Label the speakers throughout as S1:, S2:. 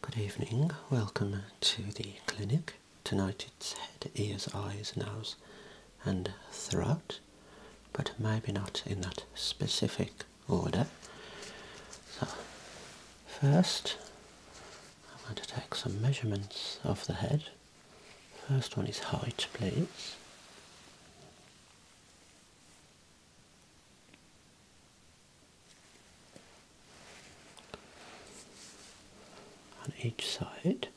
S1: Good evening, welcome to the clinic. Tonight it's head, ears, eyes, nose and throat, but maybe not in that specific order. So, first I'm going to take some measurements of the head. First one is height, please on each side.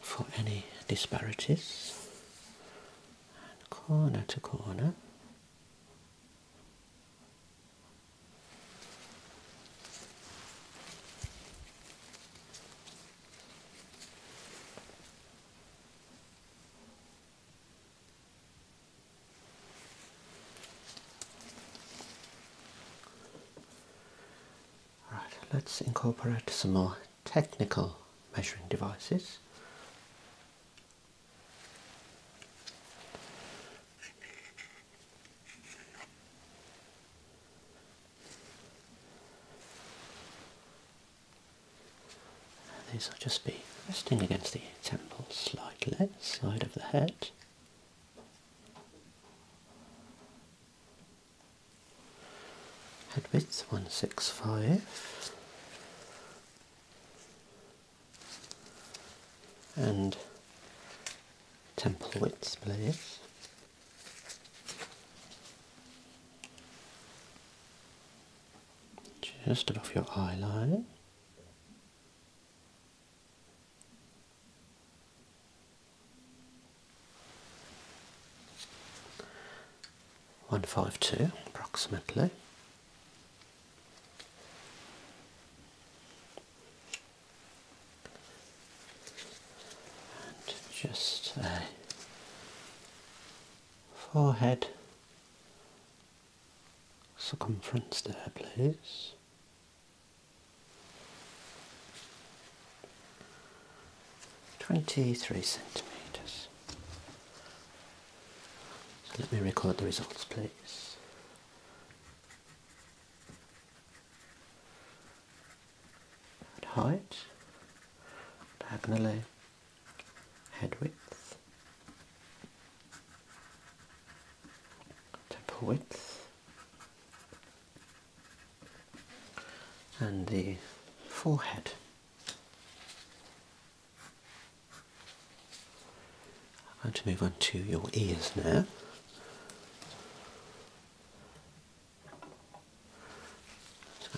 S1: For any disparities, corner to corner. All right, let's incorporate some more technical measuring devices these will just be resting against the temple slightly, side of the head. Head width 165 and temple width please just above your eyeline. One five two approximately just a forehead circumference there please twenty three centimetres. So let me record the results please and height, diagonally head width, temple width, and the forehead. I'm going to move on to your ears now. I'm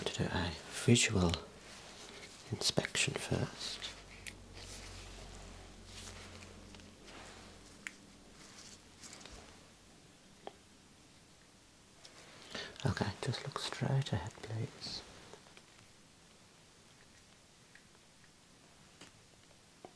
S1: going to do a visual inspection first. Okay, just look straight ahead, please.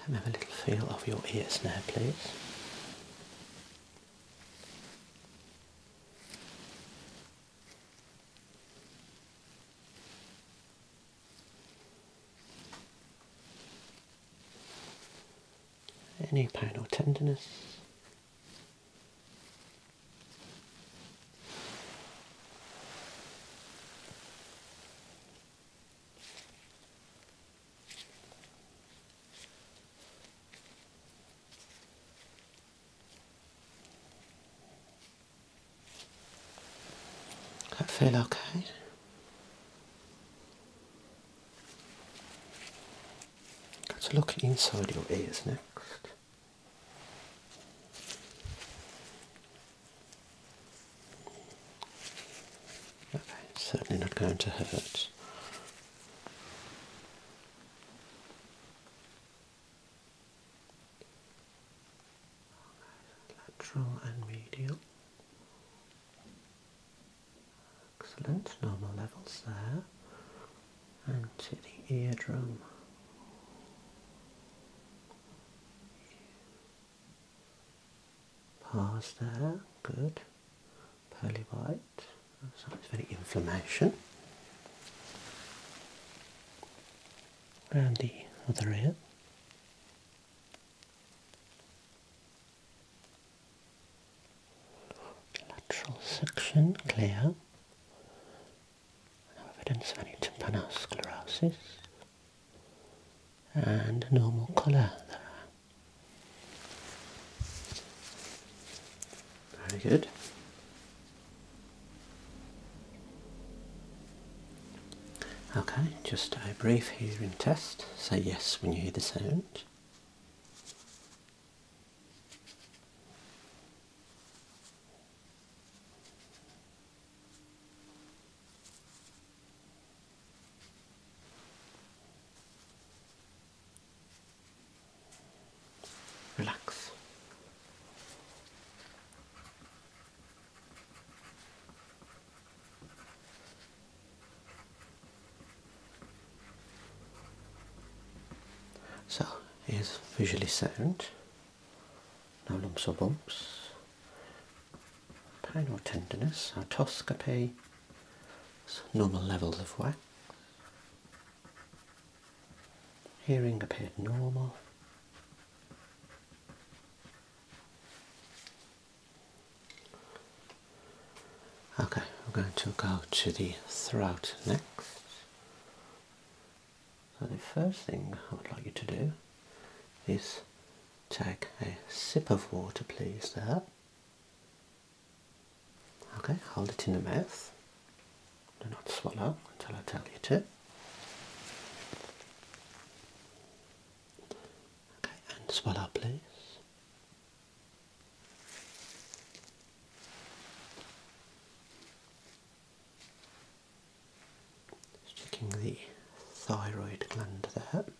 S1: Let me have a little feel of your ears now, please. Any pain or tenderness? I feel okay. Let's look inside your ears next. Okay, certainly not going to hurt. Lateral and medial. Excellent, normal levels there. And to the eardrum. Past there, good. Pearly white, So sounds very inflammation. And the other ear. Lateral section clear. No evidence of any tympanosclerosis and normal colour there. Very good. Okay, just a brief hearing test. Say yes when you hear the sound. Relax. So is visually sound, no lumps or bumps, Pain or tenderness, otoscopy, normal levels of wax. Hearing appeared normal. Okay, we're going to go to the throat next. So the first thing I would like you to do is take a sip of water, please, there. Okay, hold it in the mouth. Do not swallow until I tell you to. Okay, and swallow, please. checking the thyroid gland there.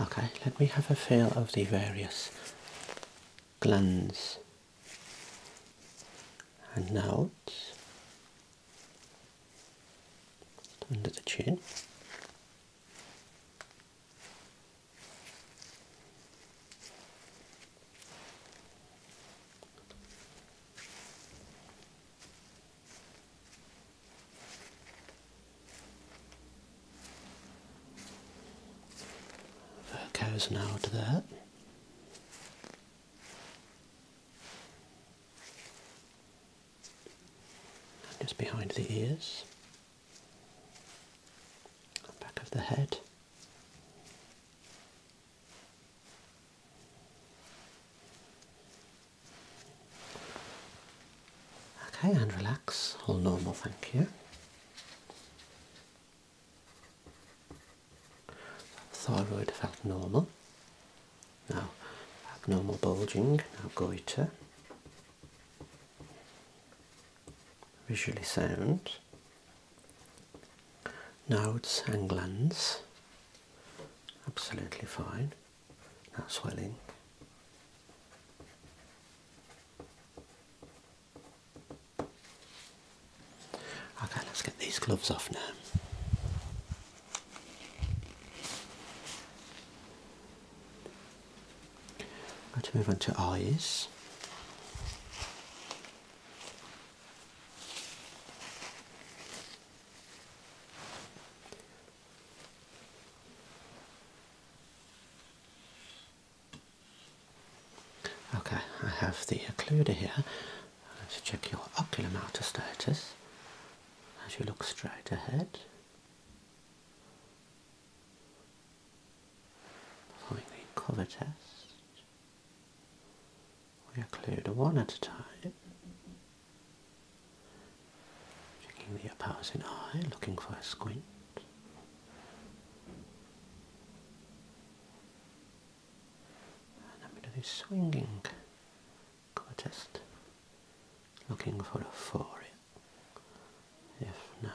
S1: Okay, let me have a feel of the various glands and nodes under the chin. That goes now to that. Just behind the ears, back of the head. Okay, and relax. All normal, thank you. Thyroid felt normal. Now abnormal bulging, now goiter. Visually sound. Nodes and glands. Absolutely fine. Now swelling. Okay, let's get these gloves off now. Let's move on to eyes. Okay, I have the occluder here to check your ocular outer status as you look straight ahead. Following the cover test, we occlude one at a time. Checking the opposite eye, looking for a squint. And I'm going to do test, looking for a for If no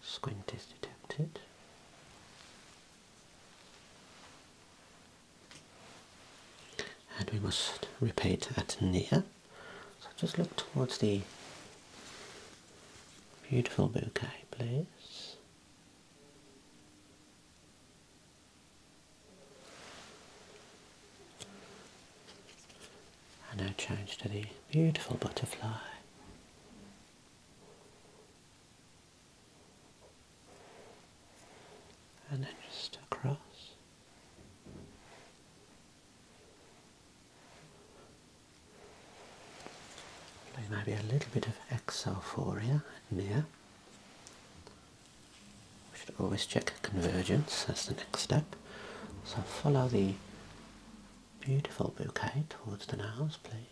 S1: squint is detected. And we must repeat at near. So just look towards the beautiful bouquet, please. And now change to the beautiful butterfly. And then just across. Play maybe a little bit of exophoria near. We should always check convergence, that's the next step. So follow the beautiful bouquet towards the nose, please.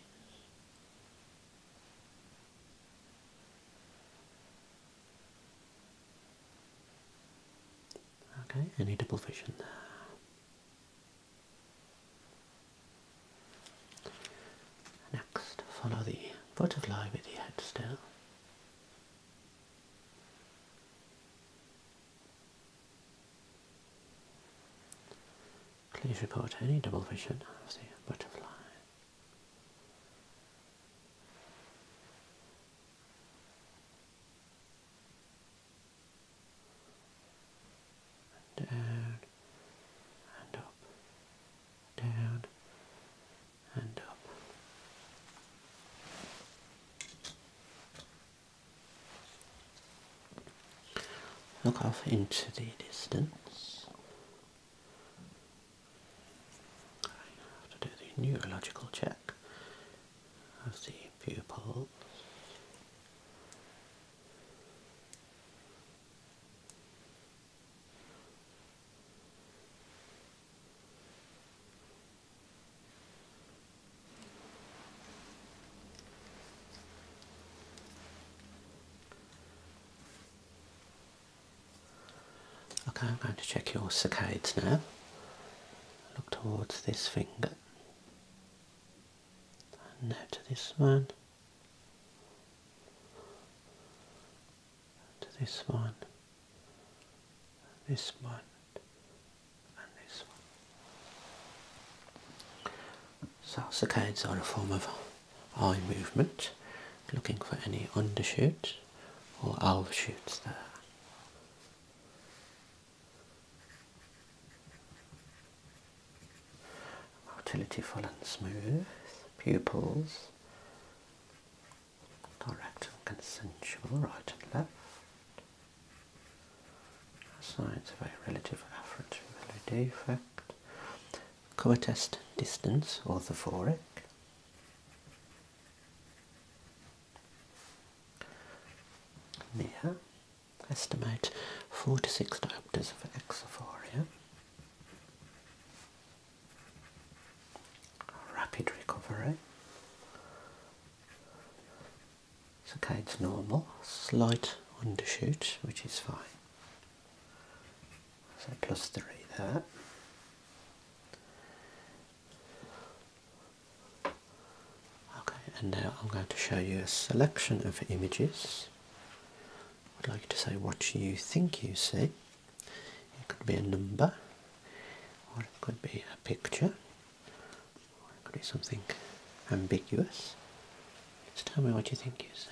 S1: Okay, any double vision there. Next, follow the butterfly with the head still. Please report any double vision of the butterfly down and up, down and up. Look off into the distance. I have to do the neurological check of the pupils. Okay, I'm going to check your saccades now. Look towards this finger. And now to this one. To this one. This one. And this one. So saccades are a form of eye movement, looking for any undershoots or overshoots there. Maturity, full and smooth, pupils direct and consensual, right and left. Signs of a relative afferent melody defect. Coatest distance, orthophoric. There, estimate four to six diopters of exophoria. Rapid recovery. It's okay Saccade's normal, slight undershoot, which is fine. So plus three there. Okay, and now I'm going to show you a selection of images. I'd like to say what you think you see. It could be a number, or it could be a picture, or it could be something ambiguous. Just tell me what you think you see.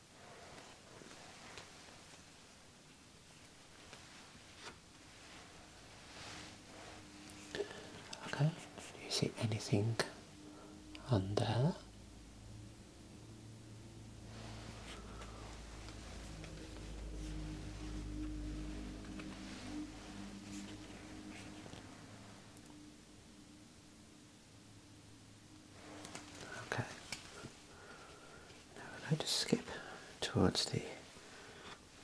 S1: Okay, do you see anything under? there? Okay. Now I'd like to skip towards the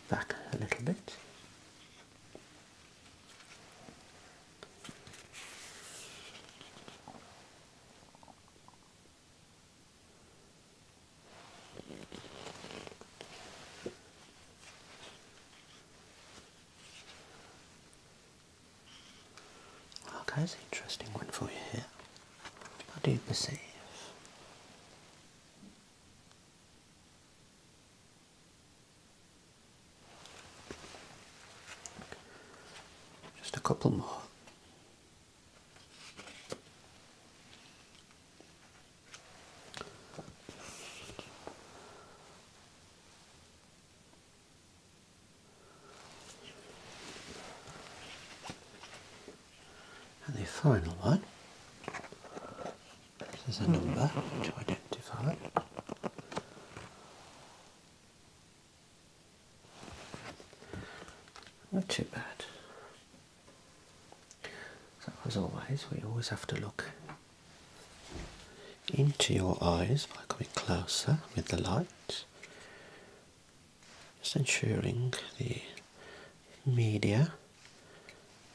S1: back a little bit okay, oh, it's an interesting one for you here. I do perceive. Just a couple more. And the final one, this is a number to identify. Not too bad. So as always, we always have to look into your eyes by coming closer with the light just ensuring the media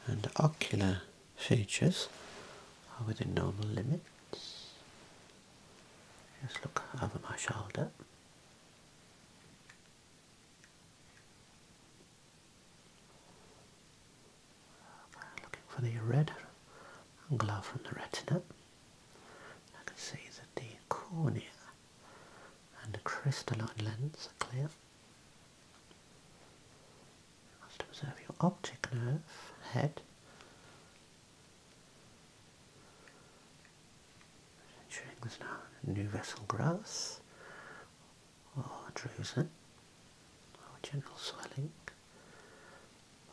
S1: and ocular features are within normal limits. Just look over my shoulder. looking for the red glow from the retina. I can see that the cornea and the crystalline lens are clear. You must observe your optic nerve, head. Ensuring there's no new vessel growth or drusen or oh, general swelling.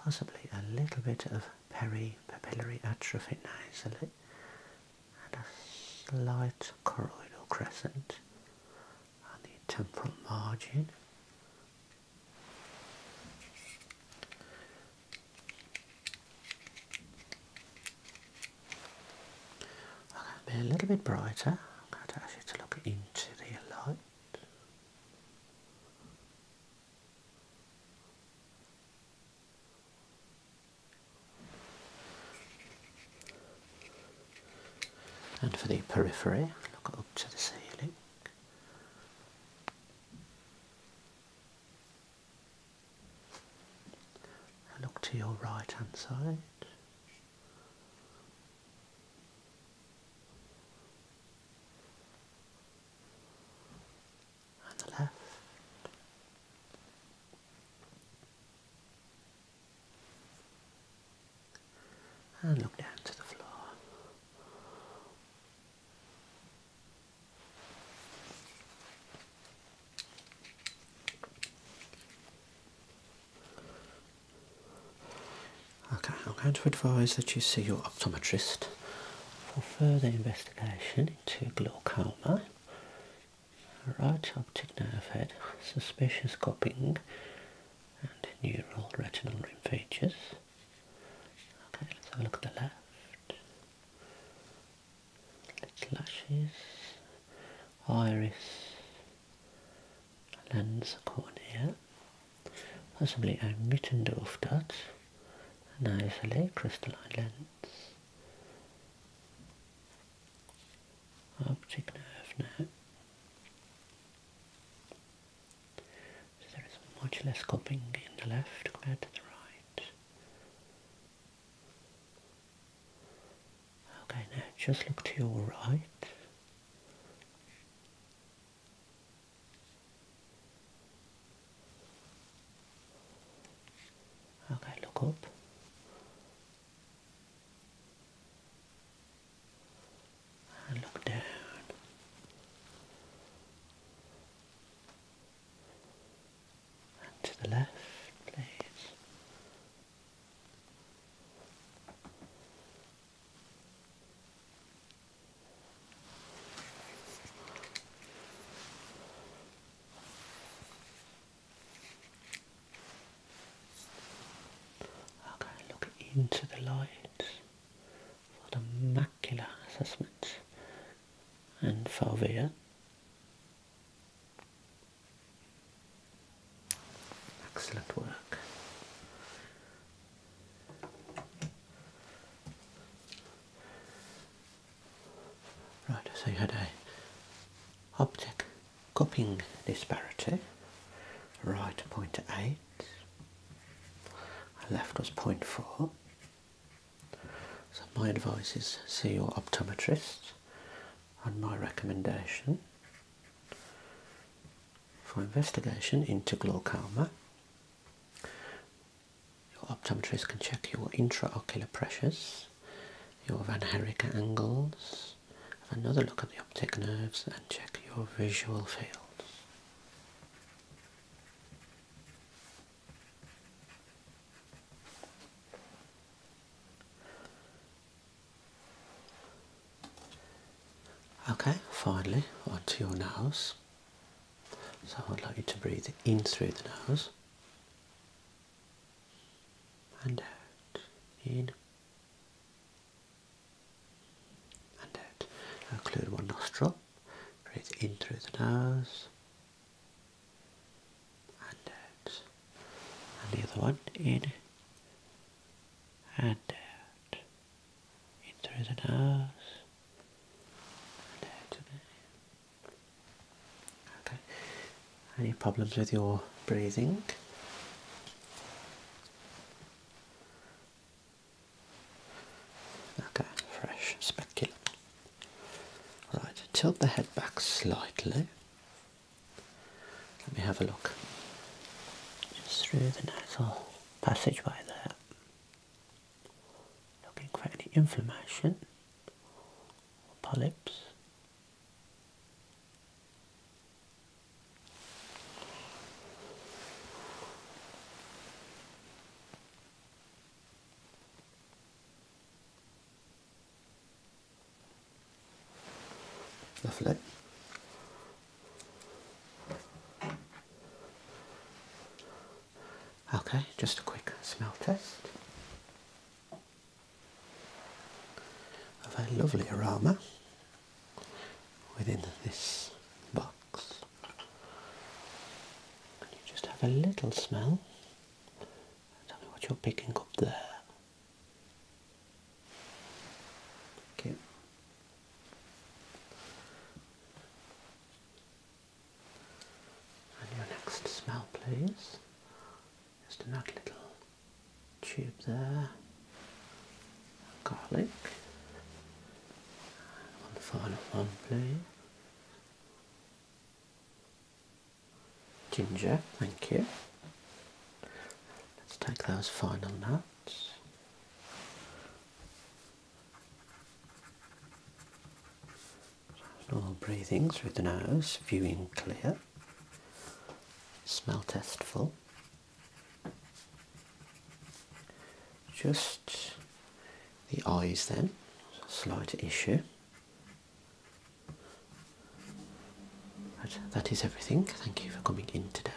S1: Possibly a little bit of Peri-papillary atrophy nasally and a slight choroidal crescent on the temporal margin. I'm going be a little bit brighter. I'm going to ask you to look into the light. And for the periphery, look up to the ceiling. And look to your right hand side and the left. And look down to the floor. Okay, I'm going to advise that you see your optometrist for further investigation investigation into glaucoma. Right optic nerve head, suspicious cupping and neural retinal rim features. Okay, let's have a look at the left. Little lashes, iris, lens cornea, possibly a Mittendorf dot an overlay crystalline lens, optic nerve now. So there is much less cupping in the left compared to the right. Okay, now just look to your right. Okay, look up. look down. to the left, please. I'll go and look into the light for the macular assessment and fovea. Excellent work. Right, so you had a optic cupping disparity. Right point eight. left was point four. So my advice is see your optometrist and my recommendation for investigation into glaucoma your optometrist can check your intraocular pressures, your Van Herrick angles, have another look at the optic nerves and check your visual fields. Okay, finally onto your nose. So I'd like you to breathe in through the nose and out. In and out. Occlude one nostril. Breathe in through the nose and out. And the other one in and out in the nose Okay. Any problems with your breathing? Okay, fresh speculum. Right, tilt the head back slightly. Let me have a look. Just through the nasal passageway there. Looking for any inflammation or polyps. Lovely. Okay, just a quick smell test A very lovely aroma within this box. And you just have a little smell. Tell me what you're picking up there. Okay. And your next smell, please. Just another little tube there. Garlic. And one final one, please. Ginger, thank you. Let's take those final notes. Normal breathing through the nose, viewing clear, smell test full. Just the eyes then, slight issue. But that is everything. Thank you for coming in today.